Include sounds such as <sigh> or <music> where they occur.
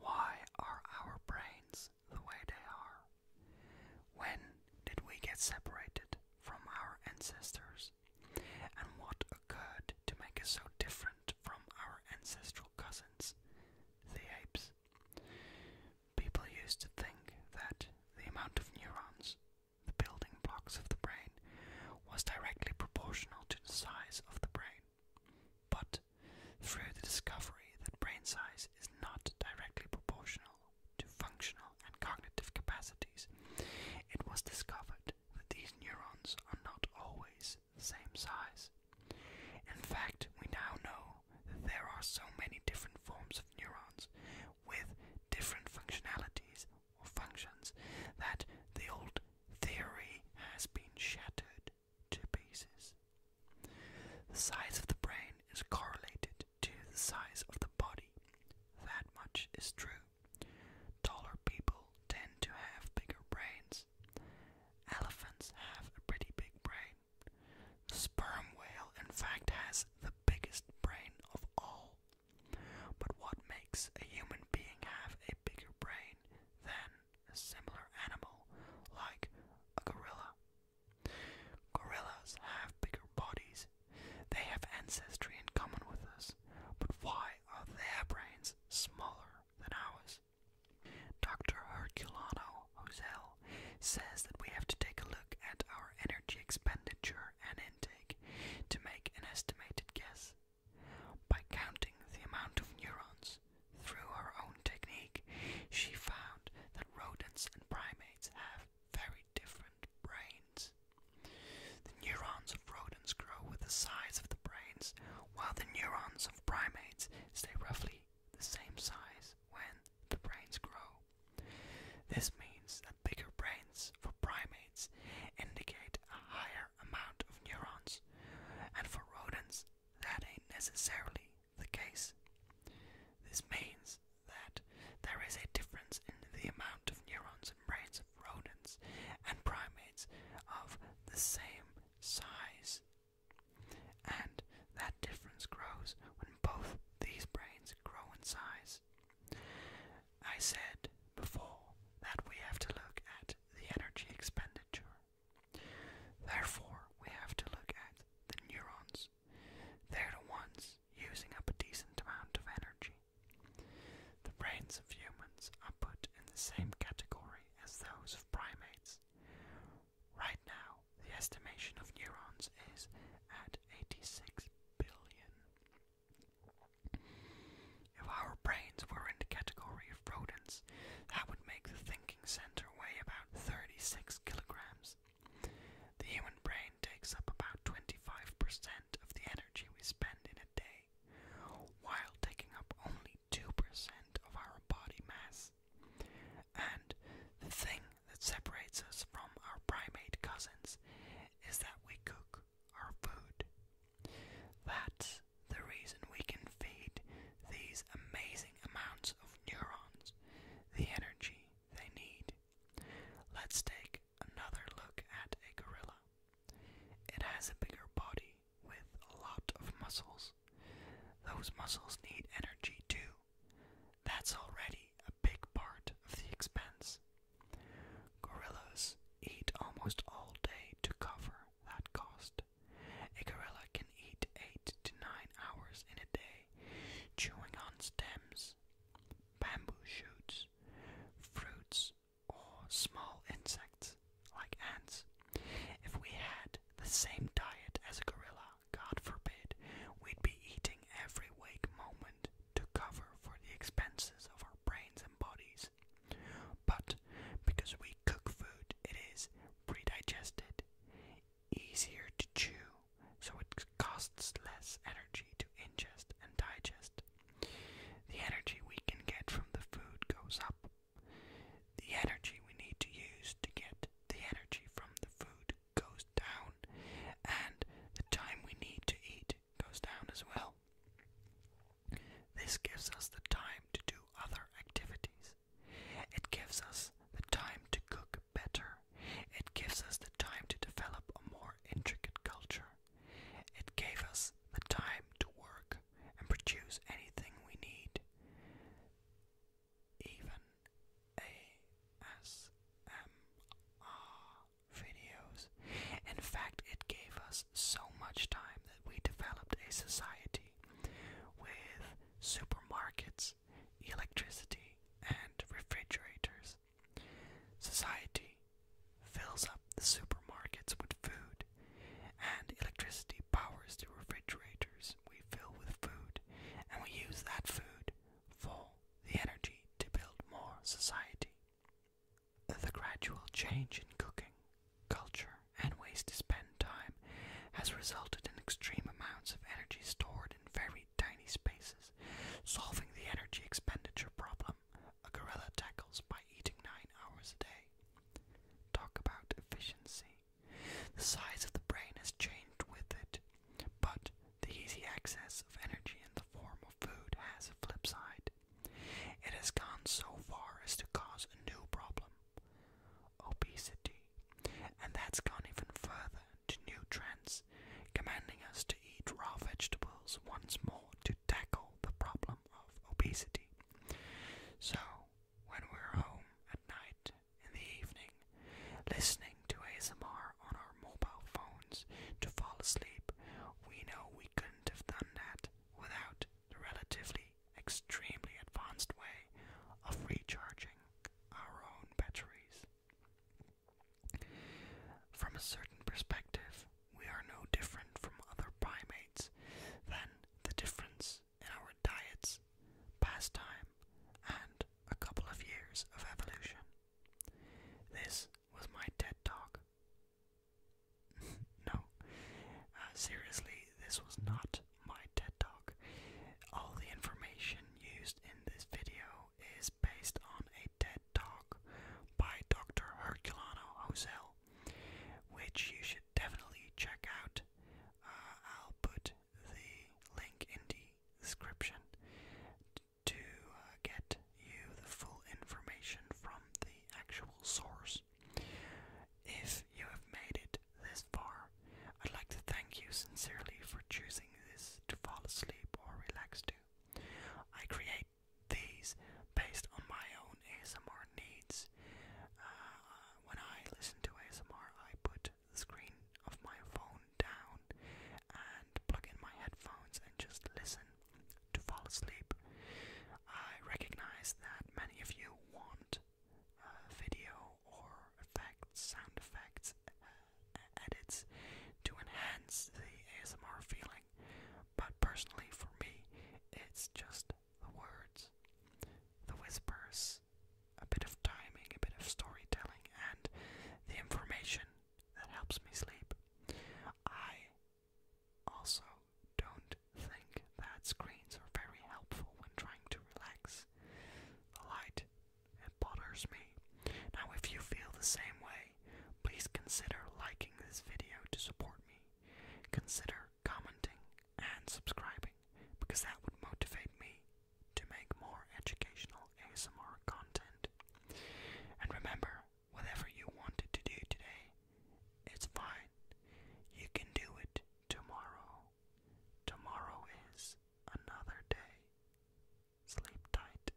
Why are our brains the way they are? When did we get separated from our ancestors? And what occurred to make us so different from our ancestral cousins, the apes? People used to think that the amount of neurons, the building blocks of the brain, was directly proportional to the size of the brain. But through the discovery that brain size is not directly proportional to functional and cognitive capacities, it was discovered that these neurons are not always the same size. In fact, we now know that there are so many different forms of neurons with different functionalities or functions that the old theory has been shattered to pieces. The size of the brain is correlated to the size of the body. That much is true. Taller people tend to have bigger brains. Elephants have a pretty big brain. The sperm whale, in fact, has the biggest brain of all. But what makes a human being have a bigger brain than a similar animal like a gorilla. Gorillas have bigger bodies. They have ancestry in common with us, but why are their brains smaller than ours? Dr. Herculano Hosel says that we have to take a look at our energy expenditure and intake to make an estimated guess by counting the amount of neurons through her own technique, she found that rodents and primates have very different brains. The neurons of rodents grow with the size of the brains, while the neurons of primates stay roughly the same size when the brains grow. This means that bigger brains for primates indicate a higher amount of neurons, and for rodents, that ain't necessarily the case. This means that there is a difference in the amount of neurons in brains of rodents and primates of the same size. And that difference grows when both these brains grow in size. I said before that we have to look at the energy expenditure. Therefore, we have to look at the neurons. They're the ones using up a decent amount of energy. The brains of humans are put in the same category as those of primates. Right now, the estimation of neurons is at 86 billion. If our brains were in the category of rodents, that would make the thinking center weigh about 36 kilograms. The human brain takes up about 25% of the energy we spend in a day, while taking up only 2% of our body mass. And the thing that separates us from our primate cousins is that we cook our food. That's the reason we can feed these amazing amounts of neurons the energy they need. Let's take another look at a gorilla. It has a bigger body with a lot of muscles. Those muscles need energy too. That's already a big part of the expense. Gorillas eat almost all day to cover that cost. A gorilla can eat 8 to 9 hours in a day, chewing on stems, bamboo shoots, fruits, or small insects like ants. If we had the same diet as a gorilla, God forbid, we'd be eating every wake moment to cover for the expenses of our brains and bodies. But because we cook food, it is predigested, easier to chew, so it costs less energy to ingest and digest. The energy we can get from the food goes up. The energy we need to use to get the energy from the food goes down, and the time we need to eat goes down as well. This gives us the time to do other activities. It gives us the time to cook better. It gives us the time to develop a more intricate culture. It gave us the time to work and produce anything we need. Even ASMR videos. In fact, it gave us so much time that we developed a society with supermarkets, electricity, and refrigerators. Society fills up the supermarkets with food, and electricity powers the refrigerators we fill with food, and we use that food for the energy to build more society. The gradual change in cooking, culture, and ways to spend time has resulted in extreme amounts of energy stored in very tiny spaces, solving the energy expenditure problem a gorilla tackles by eating nine hours a day. Talk about efficiency. The size of the brain has changed with it, but the easy access of energy in the form of food has a flip side. It has gone so far as to cause a new problem obesity. And that's gone even further to new trends, commanding us to eat raw vegetables once more to tackle the problem of obesity. So, when we're home at night in the evening, listening to ASMR on our mobile phones to fall asleep, we know we couldn't have done that without the relatively extremely advanced way of recharging our own batteries. From a certain perspective, we are no different from other primates than the difference in our diets space, and a couple of years of evolution. This was my TED Talk. <laughs> no, uh, seriously, this was not my TED Talk. All the information used in this video is based on a TED Talk by Dr. Herculano Ozel, which you should definitely check out. Uh, I'll put the link in the description to uh, get you the full information from the actual source. If you have made it this far, I'd like to thank you sincerely for choosing this to fall asleep or relax to. I create these based on my own ASMR needs. Uh, when I listen to ASMR, I put the screen of my phone down and plug in my headphones and just listen to fall asleep. I recognize that many of you want uh, video or effects, sound effects, uh, edits to enhance the ASMR feeling, but personally for me, it's just the words, the whispers, a bit of timing, a bit of storytelling, and the information that helps me sleep. I also don't think that screens are very helpful when trying to relax. The light, it bothers me. Now, if you feel the same way, please consider liking this video to support me. Consider commenting, and subscribing because that would motivate me to make more educational ASMR content. And remember, whatever you wanted to do today, it's fine. You can do it tomorrow. Tomorrow is another day. Sleep tight.